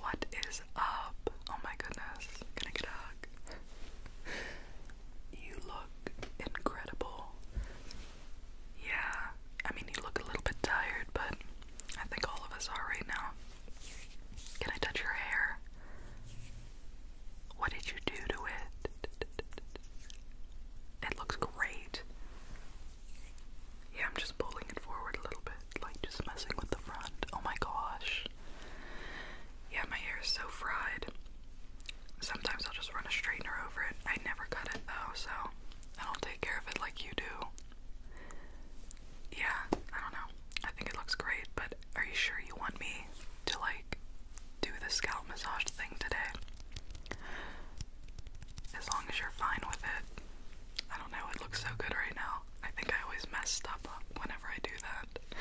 What is up? Oh my goodness. Can I get a hug? You look incredible. Yeah, I mean, you look a little bit tired, but I think all of us are right now. Can I touch your hair? What did you do to it? It looks great. Yeah, I'm just pulling it forward a little bit, like just messing with the front. Oh my gosh. Yeah, my hair is so fried. Sometimes I'll just run a straightener over it. I never cut it though, so I don't take care of it like you do. Yeah, I don't know. I think it looks great, but are you sure you want me to like do the scalp massage thing today? As long as you're fine with it, I don't know, it looks so good right now. I think I always messed up whenever I do that.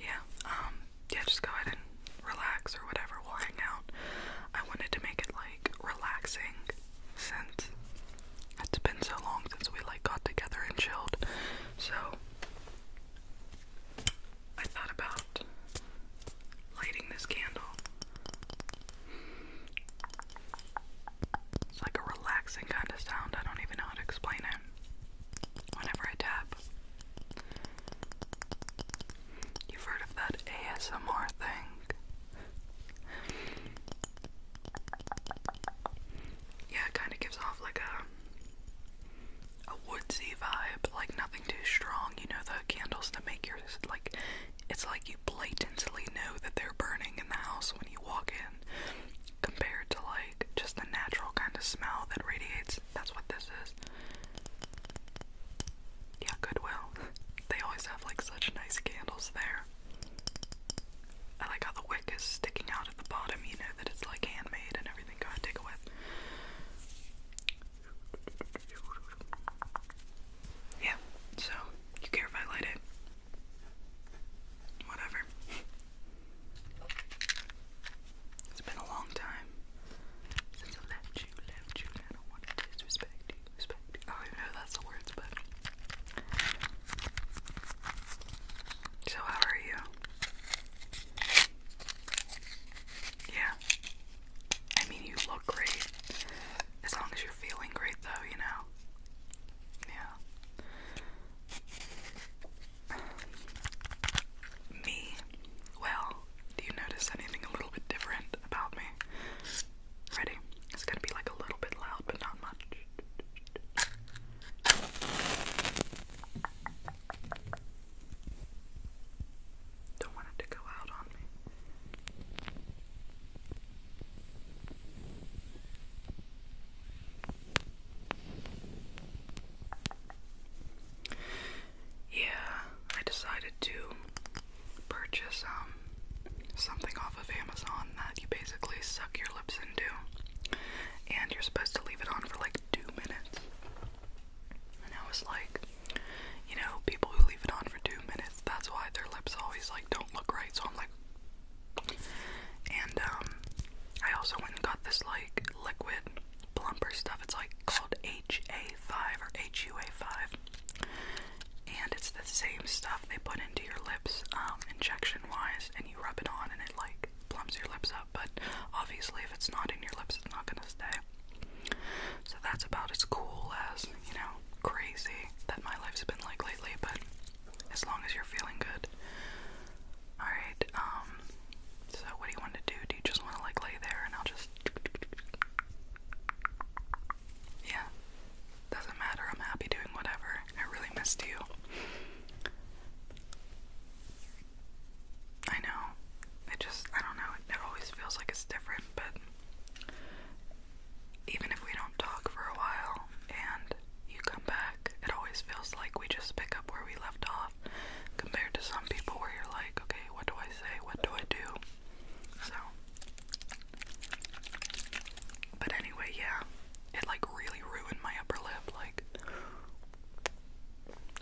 Yeah, um, yeah, just go ahead and relax or whatever, we'll hang out. I wanted to make it like relaxing since it's been so long since we like got together and chilled. So I thought about lighting this candle it's like a relaxing kind of sound. I don't even know how to explain it. Whenever I tap, you've heard of that ASMR thing. Yeah, it kind of gives off like a a woodsy vibe, like nothing too strong. You know the candles that make your like it's like you blatantly know that they're burning in the house when you walk in, compared to like just the natural kind of smell that radiates. That's what this is. Yeah, Goodwill. They always have like such nice candles there. I like how the wick is sticking out at the bottom, you know, that it's like handmade and everything gotta take with. Yeah, so you care if I light it? Whatever. It's been a long time since I left you, left you, I don't want to disrespect you, respect you. Oh, know that's the words, but. So, how are you? Yeah. I mean, you look great. As long as you're feeling great though, you know? Yeah. Me? Well, do you notice anything a little bit different about me? Ready? It's gonna be like a little bit loud, but not much. Don't want it to go out on me. Yeah, I decided to purchase um something off of Amazon that you basically suck your lips into and you're supposed to leave it on for like 2 minutes. And I was like, you know, people who leave it on for 2 minutes, that's why their lips always like don't look right. So I'm like, and um, I also went and got this like liquid plumper stuff. It's like called HA5 or HUA5, and it's the same stuff they put into your lips um, injection wise, and you rub it on and it like plumps your lips up. But obviously, if it's not in your lips, it's not gonna stay. So that's about as cool as you know crazy that my life's been like lately, but as long as you're feeling good. Alright, um, so what do you want to do? Do you just want to like lay there and I'll just. Yeah, doesn't matter. I'm happy doing whatever. I really missed you. I know. It just, I don't know. It always feels like it's different, but even if we don't talk for a while and you come back, it always feels like we just pick up where we left off compared to some people where you're like, okay, what do I say? What do I do? So, but anyway, yeah, it like really ruined my upper lip. Like,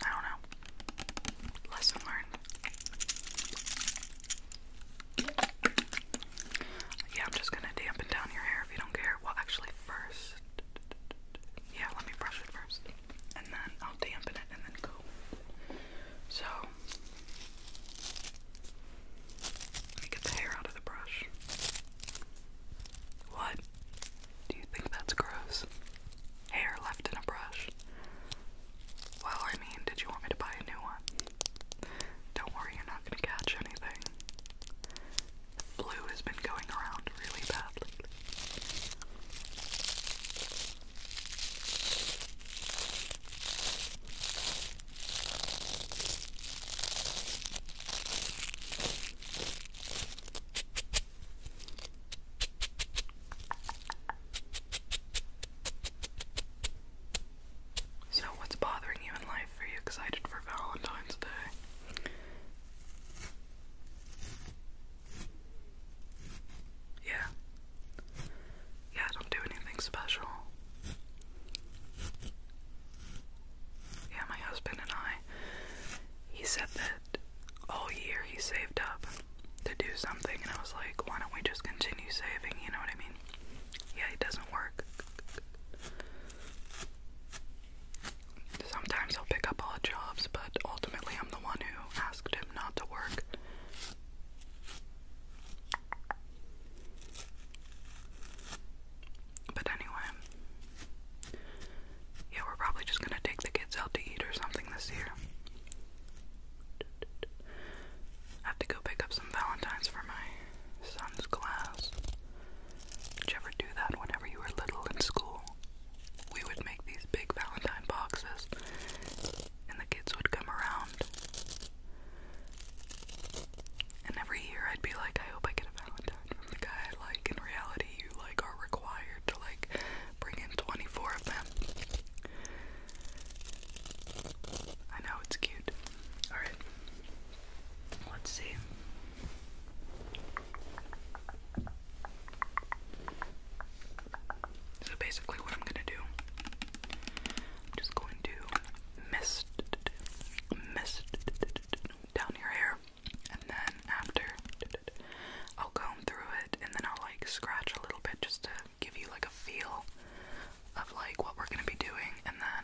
I don't know. Lesson learned. Yeah, I'm just gonna dampen down your hair if you don't care. Well, actually, first. Yeah, let me brush it first. And then I'll dampen it and then go. So. Let me get the hair out of the brush. What? Do you think that's gross? Hair left in a brush? Well, I mean, did you want me to buy a new one? Don't worry, you're not gonna catch anything. Blue has been going around really badly. So, what's bothering you in life? Are you excited for Valentine's Day? Yeah. Yeah, don't do anything special. Yeah, my husband and I, he said that all year he saved up to do something, and I was like, why don't we just continue saving? You know what I mean? Yeah, it doesn't work. Sometimes i will pick up odd jobs, but ultimately I'm the one who asked him not to work. But anyway, yeah, we're probably just gonna take the kids out to eat or something this year. I have to go pick up some Valentines for my son's class. Did you ever do that whenever you were little in school? We would make these big Valentine boxes, and the kids would come around. And every year I'd be like, I hope I get a Valentine from the guy I like. In reality, you like are required to like bring in 24 of them. I know it's cute. Alright. Let's see. So basically, what I'm gonna do, I'm just going to mist, mist down your hair, and then after, I'll comb through it, and then I'll like scratch a little bit just to give you like a feel of like what we're gonna be doing, and then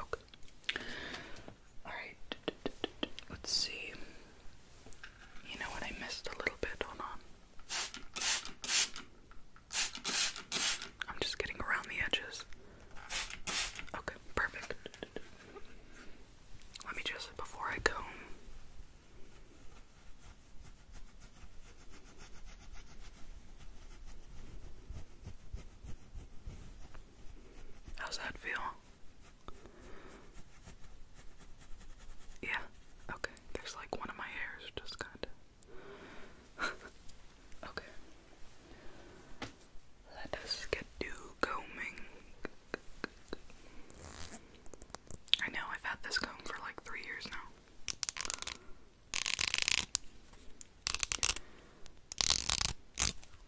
Okay. All right. Let's see. You know what? I missed a little bit. Hold on. I'm just getting around the edges. Okay, perfect. Let me just, before I go. How's that feel? Yeah, okay. There's like one of my hairs just kind of. okay. Let us get to combing I know I've had this comb for like three years now.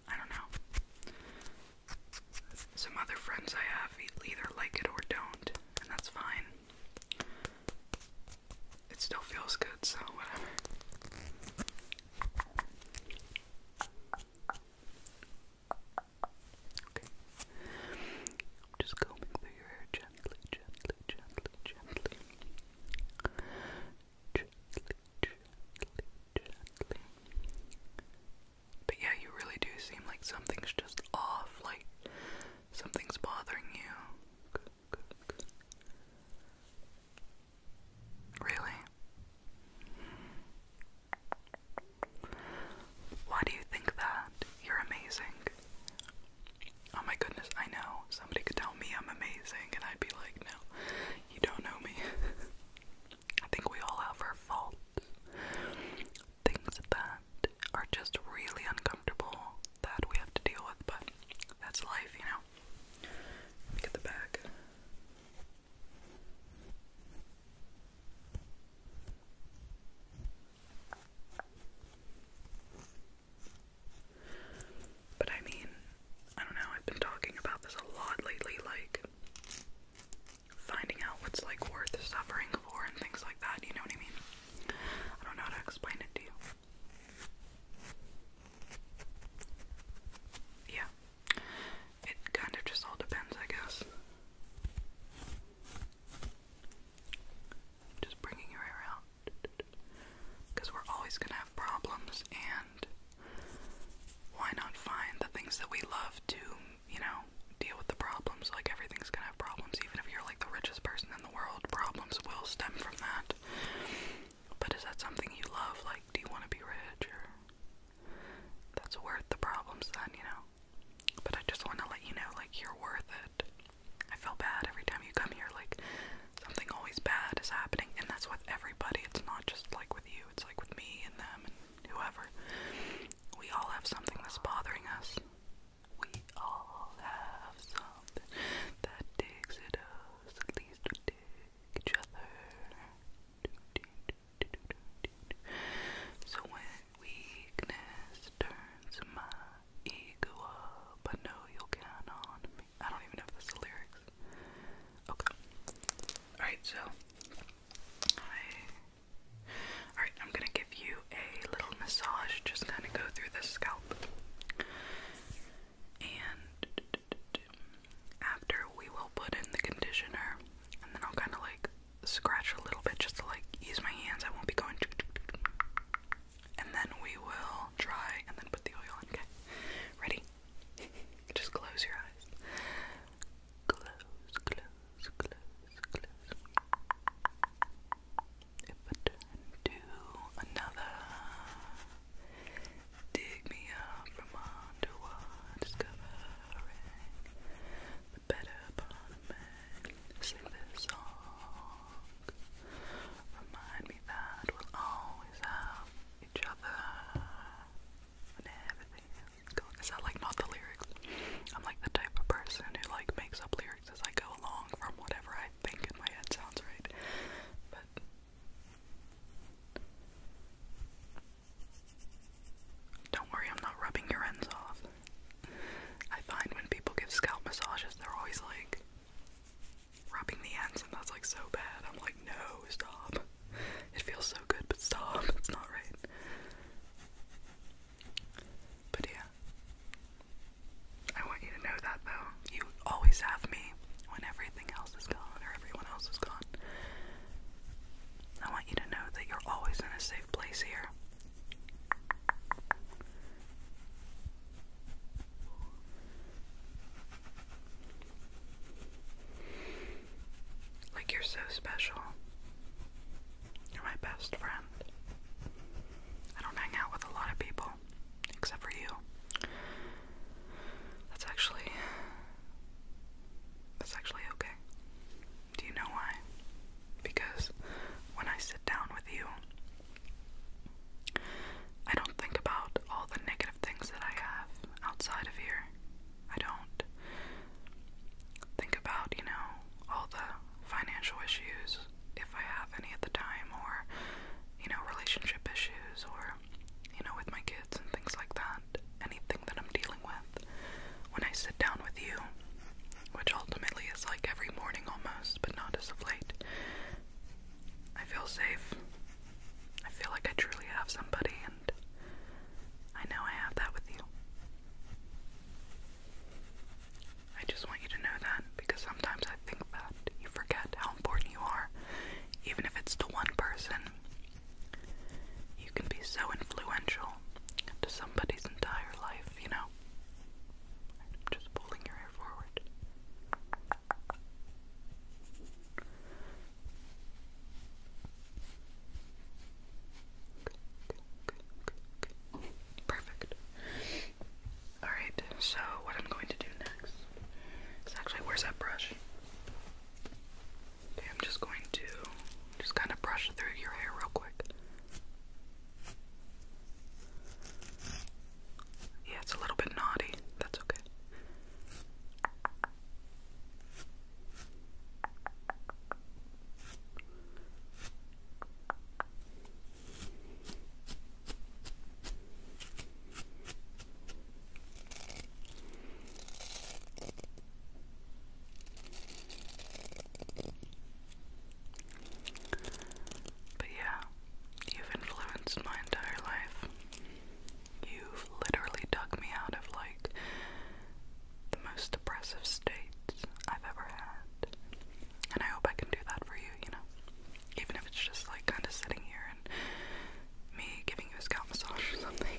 I don't know. Some other friends I have either like it or don't, and that's fine. It still feels good, so whatever just combing through your hair gently, gently, gently, gently. Gently, gently, But yeah, you really do seem like something's just off, like something's bothering you. Really? Why do you think that? You're amazing. Oh my goodness, I know. Somebody could tell me I'm amazing, and I'd be like, no, you don't know me. I think we all have our faults. Things that are just really uncomfortable that we have to deal with, but that's life, you know. get the bag. But I mean, I don't know, I've been talking about this a lot lately, like finding out what's like worth suffering for and things like that, you know what I mean? I don't know how to explain it to you. Yeah. It kind of just all depends, I guess. Just bringing your hair out. Because we're always going to have problems, and why not find the things that we love to, you know, deal with the problems? Like, everything's going to have problems. Even if you're like the richest person in the world, problems will stem from that. But is that something you love? Like, do you want to be rich or. That's worth the problems, then, you know? But I just want to let you know, like, you're worth it. I feel bad every time you come here, like, something always bad is happening, and that's with everybody. It's not just like with you, it's like with me and them and whoever. We all have something that's bothering us. We all have something that digs at us, at least we dig each other. So when weakness turns my ego up. I know you'll count on me. I don't even know if that's the lyrics. Okay. Alright, so I Alright, I'm gonna give you a little massage, just kinda go through the scalp. And after we will put in the conditioner and then I'll kinda like scratch a little bit just to like ease my hands. I won't be going. And then we will dry and then put the oil on. Okay, ready? Just close your eyes. Close, close, close, close. If I turn to another, dig me up from underwater, discovering the better part of me. Sing this Remind me that we'll always have each other and everything Is that like not the lyrics? I'm like the type of person who like makes up lyrics as I go along from whatever I think in my head sounds right. But don't worry, I'm not rubbing your ends off. I find when people give scalp massages, they're always like rubbing the ends, and that's like so bad. I'm like, no, stop. It feels so good, but stop. It's not right. But yeah. I want you to know that though. You always have me when everything else is gone or everyone else is gone. I want you to know that you're always in a safe place here. Like you're so special. You're my best friend. I don't hang out with a lot of people, except for you. That's actually that's actually okay. Do you know why? Because when I sit down with you, I don't think about all the negative things that I have outside of here. I don't think about, you know, all the financial issues if I have any at the time, or, you know, relationship issues, or, you know, with my kids and things like that. Anything that I'm dealing with. When I sit down with you, which ultimately is like every morning almost, but not as of late. I feel safe. I feel like I truly have somebody, and I know I have that with you. I just want you to know that because sometimes I think that you forget how important you are, even if it's to one person. You can be so influential to somebody's entire life, you know? I'm just pulling your hair forward. Perfect. Alright, so what I'm going to do next is actually, where's that brush? Okay, I'm just going to just kind of brush through your hair real quick. Yeah, it's a little bit naughty. That's okay. But yeah, you've influenced my entire life. You've literally dug me out of like the most depressive state I've ever had. And I hope I can do that for you, you know? Even if it's just like kind of sitting here and me giving you a scalp massage or something.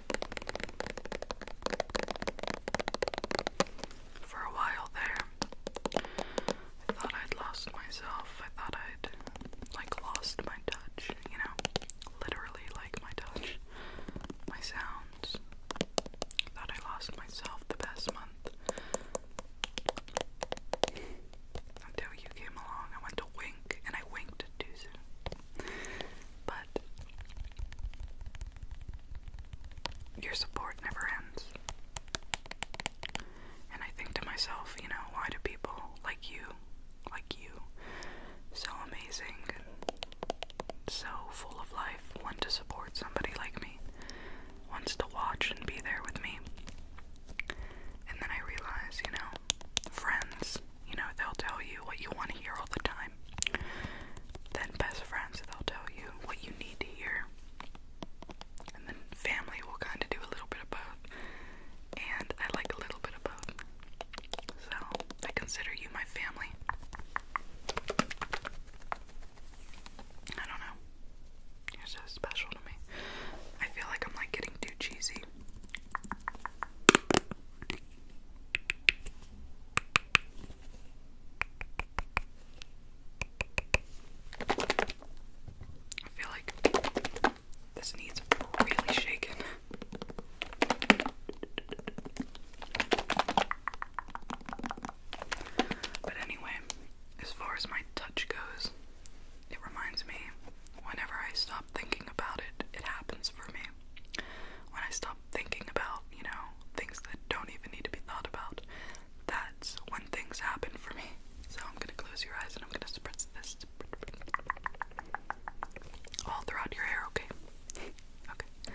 For a while there, I thought I'd lost myself. I thought I'd like lost my touch, you know? Literally like my touch. My sounds. I thought I lost myself the past month. Until you came along. I went to wink and I winked too soon. But your support never ends. And I think to myself, you know, why do people like you, like you, so amazing and so full of life, want to support somebody like me, wants to watch and be there with me? And then I realize, you know, friends, you know, they'll tell you what you want to hear all the time time. Then best friends, they'll tell you what you need to hear. And then family will kind of do a little bit about, And I like a little bit about. So I consider you my family. I don't know. You're so special to me. I feel like I'm like getting too cheesy. I feel like this needs really shaken. But anyway, as far as my touch goes, it reminds me whenever I stop thinking about it, it happens for me. When I stop thinking about, you know, things that don't even need to be thought about, that's when things happen for me. So I'm gonna close your eyes and I'm gonna spread this all throughout your hair, okay. Okay.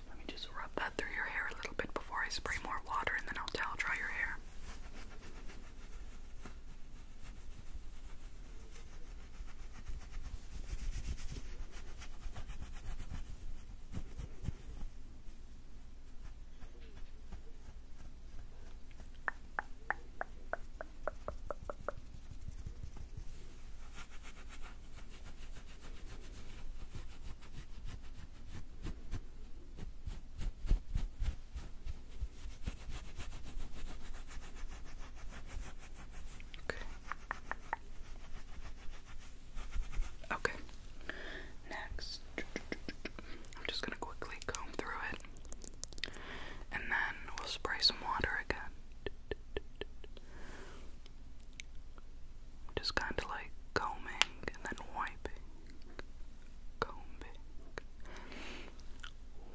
let me just rub that through your hair a little bit before I spray more water and then I'll towel dry your hair. Okay. Okay. Next, I'm just going to quickly comb through it and then we'll spray some water again. Just kind of like combing and then wiping, combing,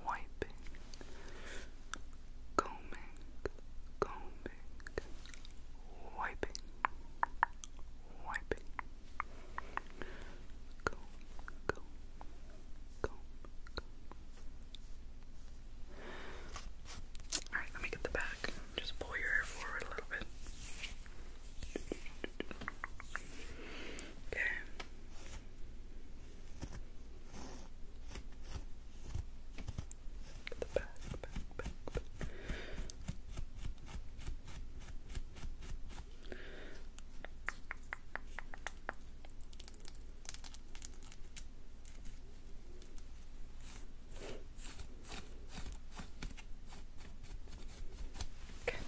wiping, combing, combing, wiping, wiping, comb, comb, comb, comb. Alright, let me get the bag. Just pull your hair forward a little bit. Okay. back, back, back, back. Okay.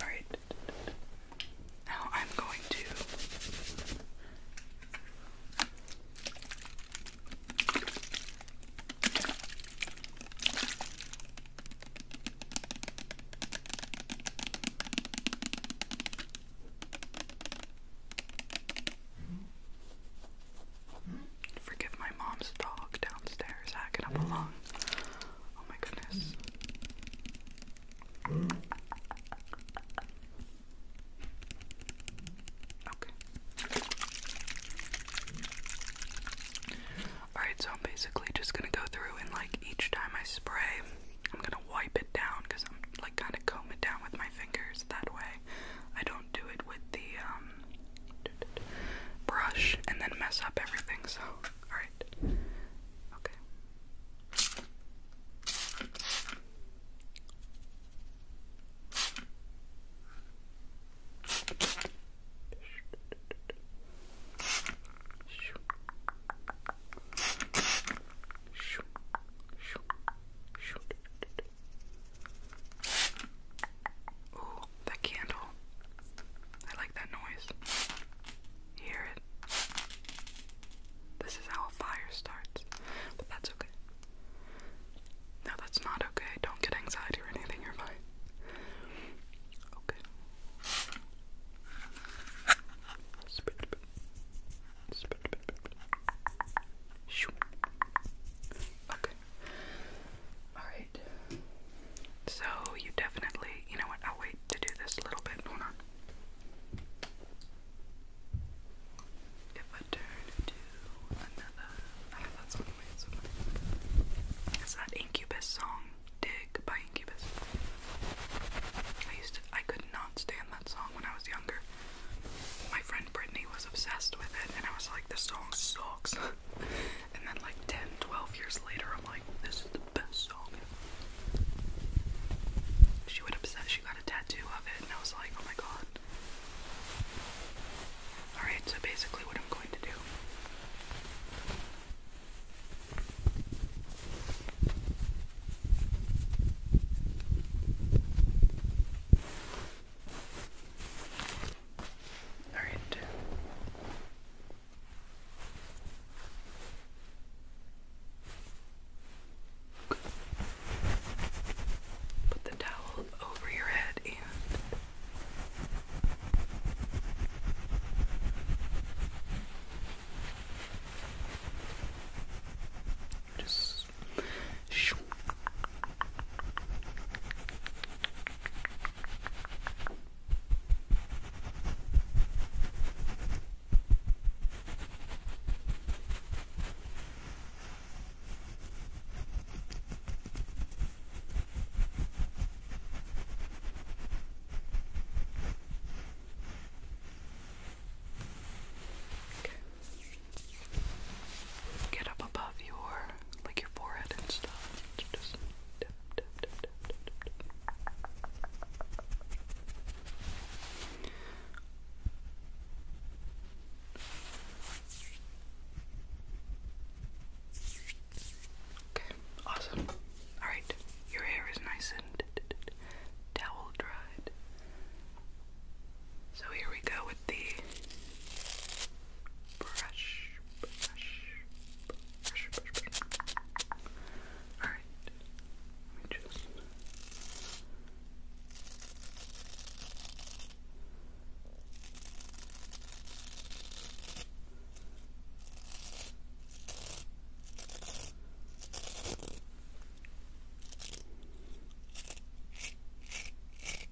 Alright. Now I'm going to. Forgive my mom's dog downstairs hacking up a lung. Oh my goodness. Okay. Alright, so I'm basically just gonna go through and like each time I spray, I'm gonna wipe it down because I'm like kind of comb it down with my fingers. That way, I don't do it with the um brush and then mess up everything, so, alright. Okay. Ooh, that candle. I like that noise. hear it? This is how a fire starts. But that's okay. No, that's not okay. Don't get anxiety or anything, you're fine. Okay. Okay. Alright. So you definitely, you know what, I'll wait to do this a little bit. Hold on. If I turn to another, I have ah, that song wait, It's that Incubus song, Dig by Incubus. I used to, I could not stand that song when I was younger. My friend Brittany was obsessed with it, and I was like, this song sucks. and then like 10, 12 years later, I'm like, this is the best song. She would upset. She got a tattoo of it, and I was like, oh my god. Alright, so basically, what I'm going to do. Alright. Put the towel over your head and just Get up above your like your forehead and stuff. just awesome. Alright, your hair is nice and towel dried. So here we go with the brush, brush, brush, brush, brush. Alright, let me just. Okay. Okay.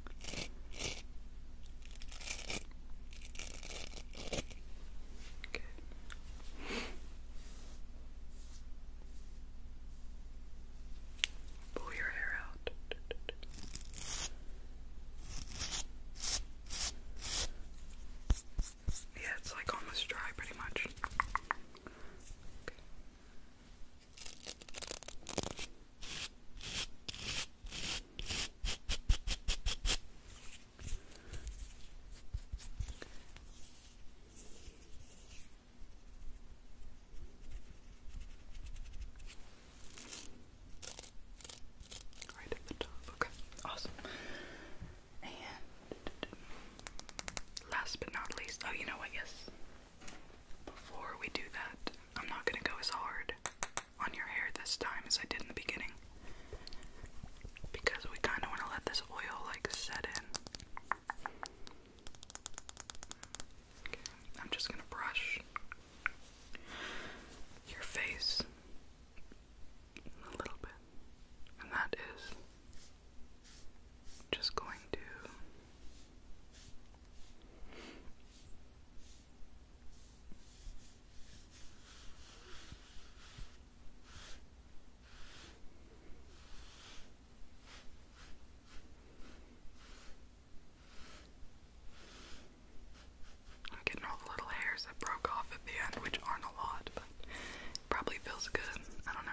Pull your hair out. Yeah, it's like almost dry pretty much. Right at the top. Okay, awesome. And last but not least, oh, you know what? Yes. Before we do that, I'm not gonna go as hard on your hair this time as I did in the beginning. Because we kind of want to let this oil like set in. I'm just gonna brush your face a little bit, and that is just going to I'm getting all the little hairs that broke off at the end, which aren't a lot, but probably feels good. I don't know.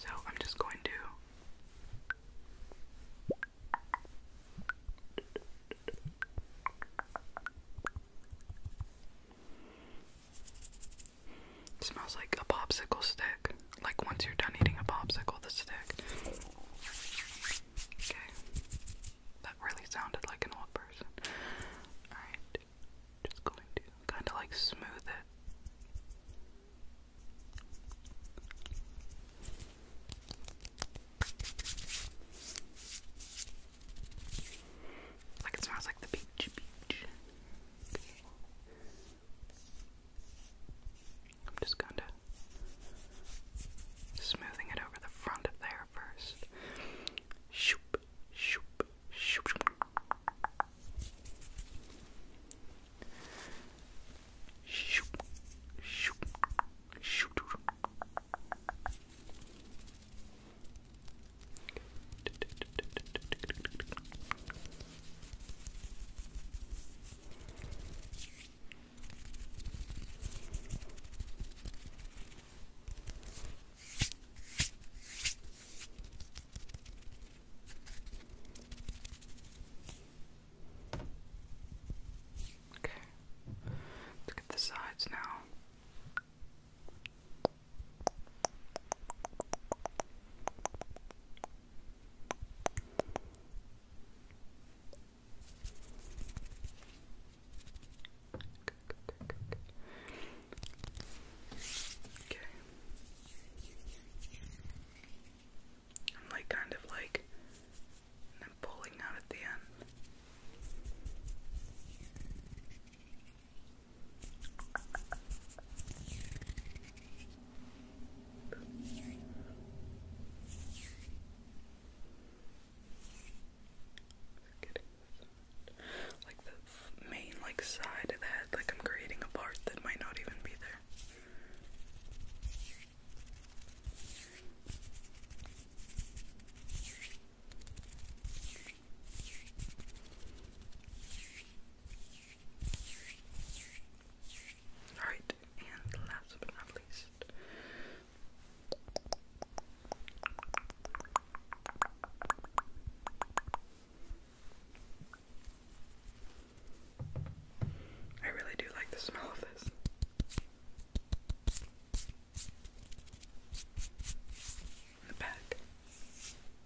So I'm just going to it smells like a popsicle stick. Like once you're done eating a popsicle, the stick. Okay. That really sounded like an old person. Alright. Just going to kind of like smooth it. Like it smells like the beach, beach. I'm just kind of smoothing it over the front of there first. Shoop, shoop, shoop, shoop. Shoop, shoop, shoop. Okay, let's get the sides now. Okay. I'm like kind of like and then pulling out at the end. Like the main like side of the head, like I'm creating a part that might not even be there. Alright, and last but not least. I really do like the smell of this. In the back.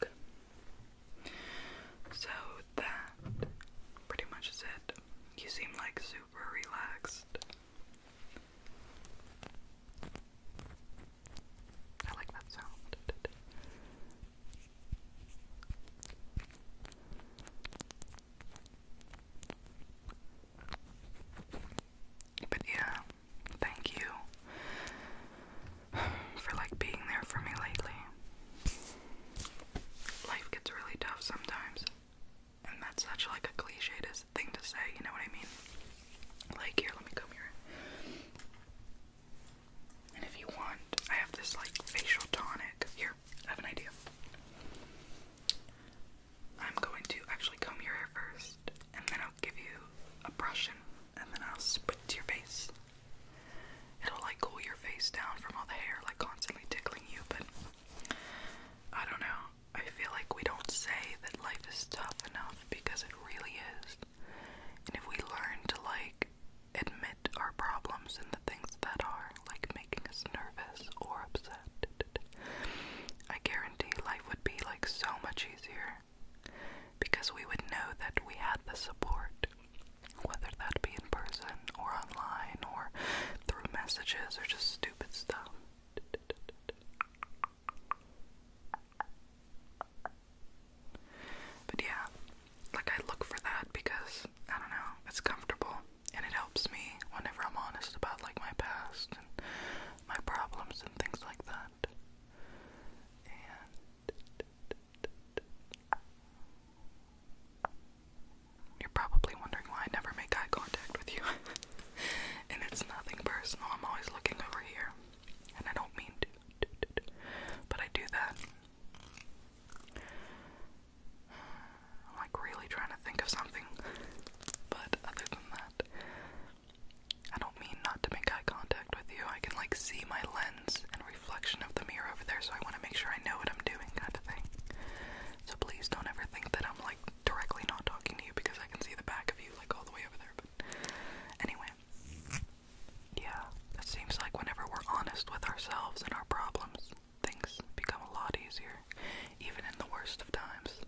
Okay. So that pretty much is it. You seem like super relaxed. I like that sound. But yeah, thank you for like being there for me lately. Life gets really tough sometimes. And that's such like a cliche thing to say, you know what I mean? Like here, let me come here. And if you want, I have this like facial tonic. Here, I have an idea. I'm going to actually comb your hair first, and then I'll give you a brush and, then I'll to your face. It'll like cool your face down from all the hair like constantly tickling you, but I don't know. I feel like we don't say that life is tough enough because it really is. And if we learn to like admit our problems and the things that are, like making us nervous or upset, I guarantee life would be like so much easier because we would know that we had the support, whether that be in person or online or through messages or just stupid stuff. But yeah, like I look for that because I don't know, it's comfortable and it helps me whenever I'm honest about like my past and my problems and things like that. you're probably wondering why I never make eye contact with you. and it's nothing personal. I'm always looking over here. And I don't mean to. But I do that I'm like really trying to think of something, but other than that, I don't mean not to make eye contact with you. I can like see my lens and reflection of the mirror over there, so I want to make sure I know what I'm doing, kind of thing. So please don't ever think that I'm like directly not talking to you because I can see the back of you like all the way over there. But anyway, yeah, it seems like whenever we're honest with ourselves and our problems, things become a lot easier, even in the worst of times.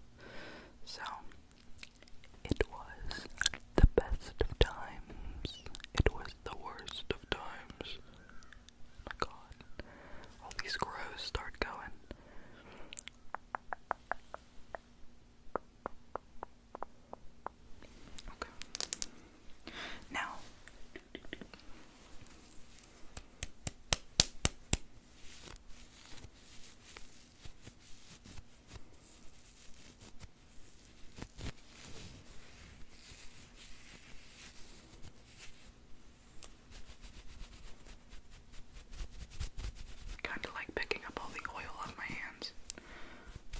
So, it was the best of times. It was the worst of times. god. All these crows start going. Okay. Now, kind of like picking up all the oil off my hands.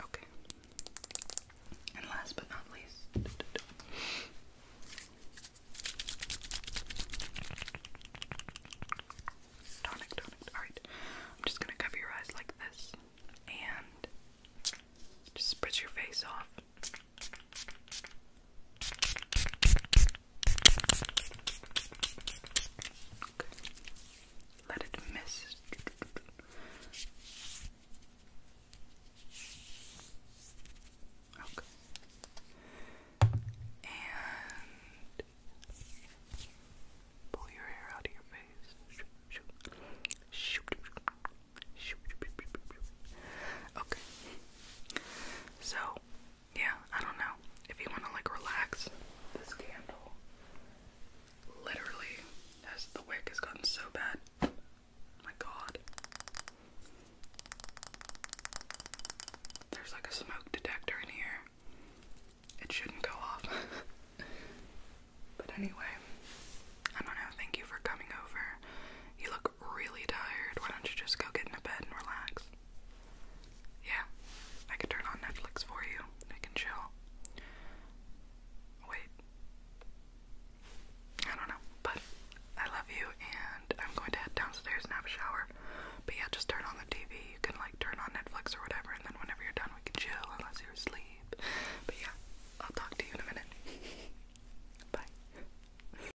Okay. And last but not least, tonic, tonic. Alright, I'm just gonna cover your eyes like this and just spritz your face off. Let it miss. Okay. And pull your hair out of your face. Shoot. Shoot. Shoot. Shoot. Okay. So, yeah, I don't know. If you want to like relax, this candle literally as the wick has gotten so bad. My god. There's like a smoke detector in here. It shouldn't go off. but anyway, I don't know. Thank you for coming over. You look really tired. Why don't you just go get into bed and relax? Yeah, I could turn on Netflix for you. I can chill. Wait. I don't know, but I love you and I'm going to head downstairs and have a shower. But yeah, just turn on the TV. You can like turn on Netflix or whatever, and then whenever you're done, we can chill unless you're asleep. But yeah, I'll talk to you in a minute. Bye.